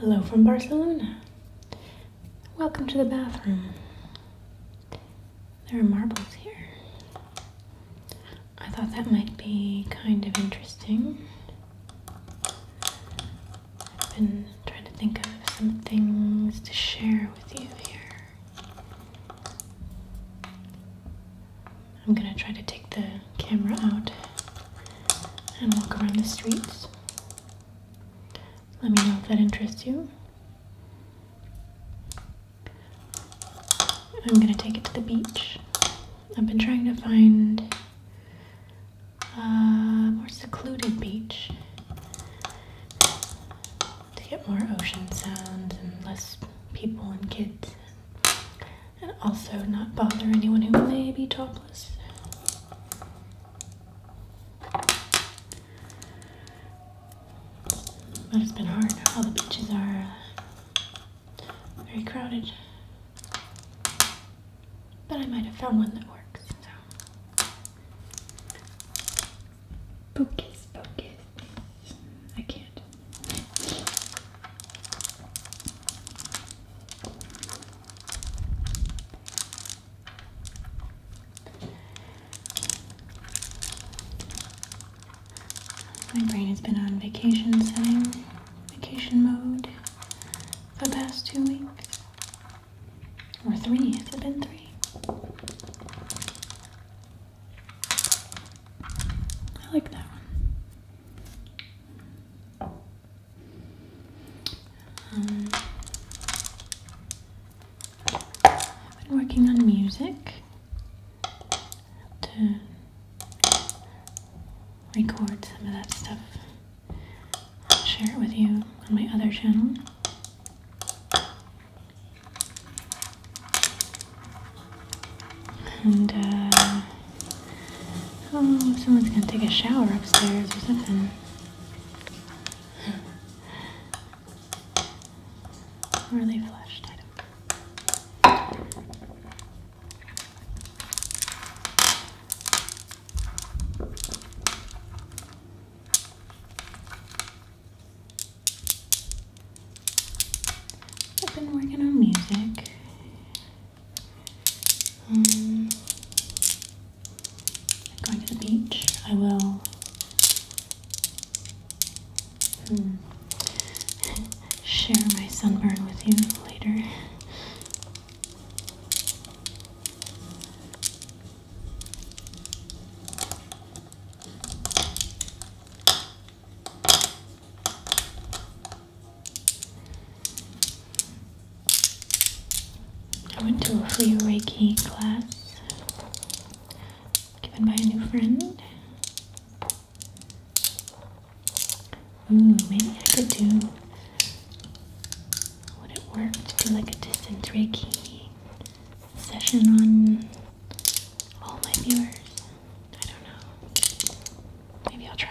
Hello from Barcelona. Welcome to the bathroom. There are marbles here. I thought that might be kind of interesting. I've been trying to think of some things to share with you here. I'm gonna try to take the camera out and walk around the streets. Let me know if that interests you. I'm gonna take it to the beach. I've been trying to find a more secluded beach to get more ocean sounds and less people and kids, and also not bother anyone who may be topless. But it's been hard. All the beaches are uh, very crowded. But I might have found one that works. So. Focus, focus. I can't. My brain has been on vacation setting, vacation mode for the past two weeks. Or three, has it been three? I like that one. Um, I've been working on music to record some of that stuff share it with you on my other channel. And, uh, oh, someone's gonna take a shower upstairs or something. or flushed, I've been working on music. Um, going to the beach. I will. Hmm. Share my sunburn with you later. I went to a free Reiki class given by a new friend. Ooh, maybe I could do would it work to do like a distance Reiki session on all my viewers. I don't know. Maybe I'll try.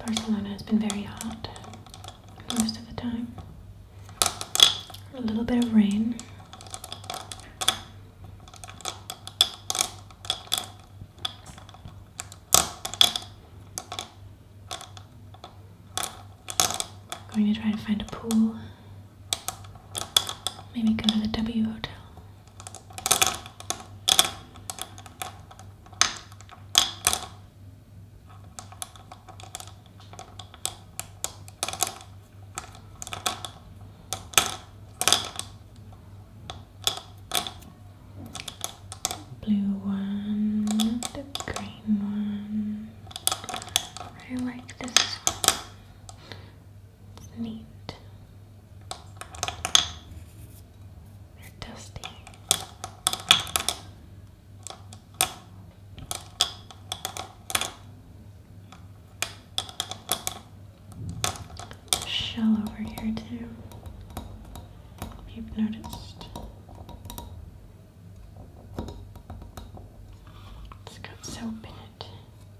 Barcelona has been very hot most of the time. A little bit of rain. going to try to find a pool Maybe go to the W Hotel. Blue one, the green one. I like this Neat. they dusty. Shell over here too. you've noticed. It's got soap in it.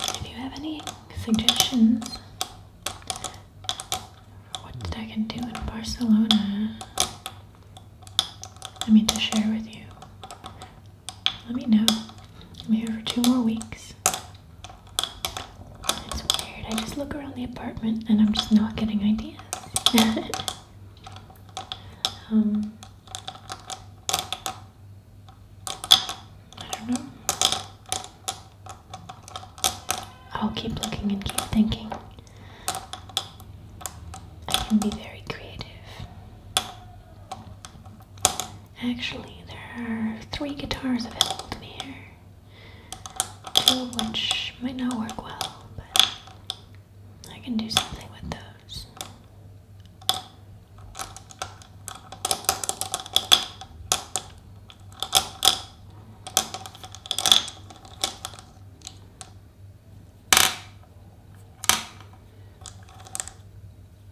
If you have any suggestions what I can do in Barcelona, I mean to share with you, let me know. I'm here for two more weeks. It's weird. I just look around the apartment and I'm just not getting ideas. Um, I don't know. I'll keep looking and keep thinking. I can be very creative. Actually, there are three guitars available here which might not work well, but I can do something with those.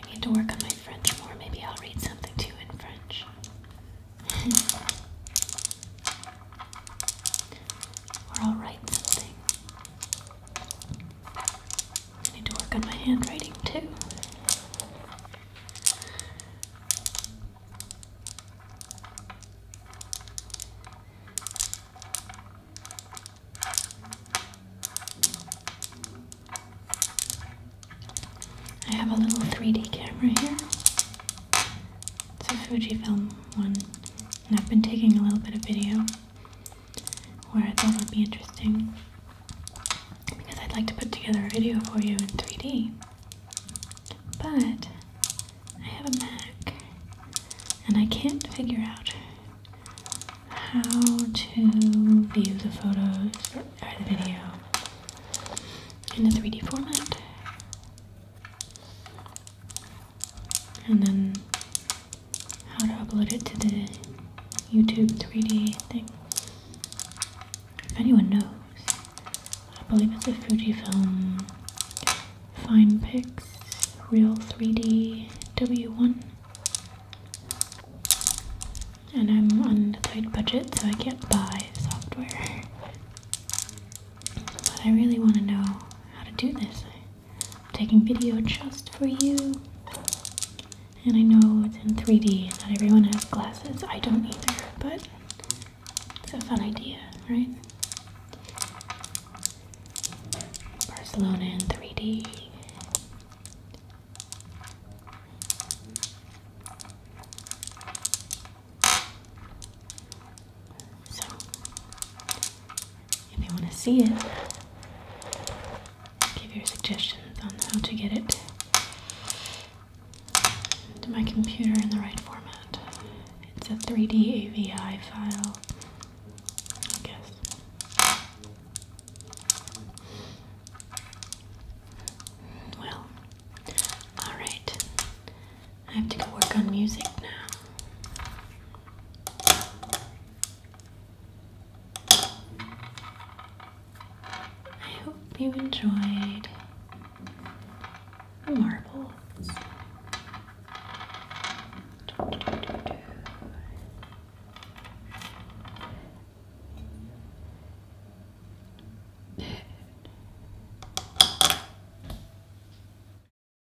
I need to work on my French more. Maybe I'll read something to you in French. or I'll write something. I need to work on my handwriting too. I have a little 3D camera here. It's a Fujifilm one, and I've been taking a little bit of video where I thought would be interesting because I'd like to put together a video for you in 3D. But I have a Mac and I can't figure out how to view the photos or the video in the 3D format and then how to upload it to the YouTube 3D thing. If anyone knows, I believe it's a Fujifilm FinePix Real 3D W1. And I'm on a tight budget, so I can't buy software. But I really want to know how to do this. I'm taking video just for you. And I know it's in 3D and not everyone has glasses. I don't either, but it's a fun idea, right? Barcelona in 3D. So, if you want to see it, give your suggestions on how to get it to my computer in the right format. It's a 3D AVI file, I guess. Well, alright. I have to go work on music now. I hope you enjoyed the marbles.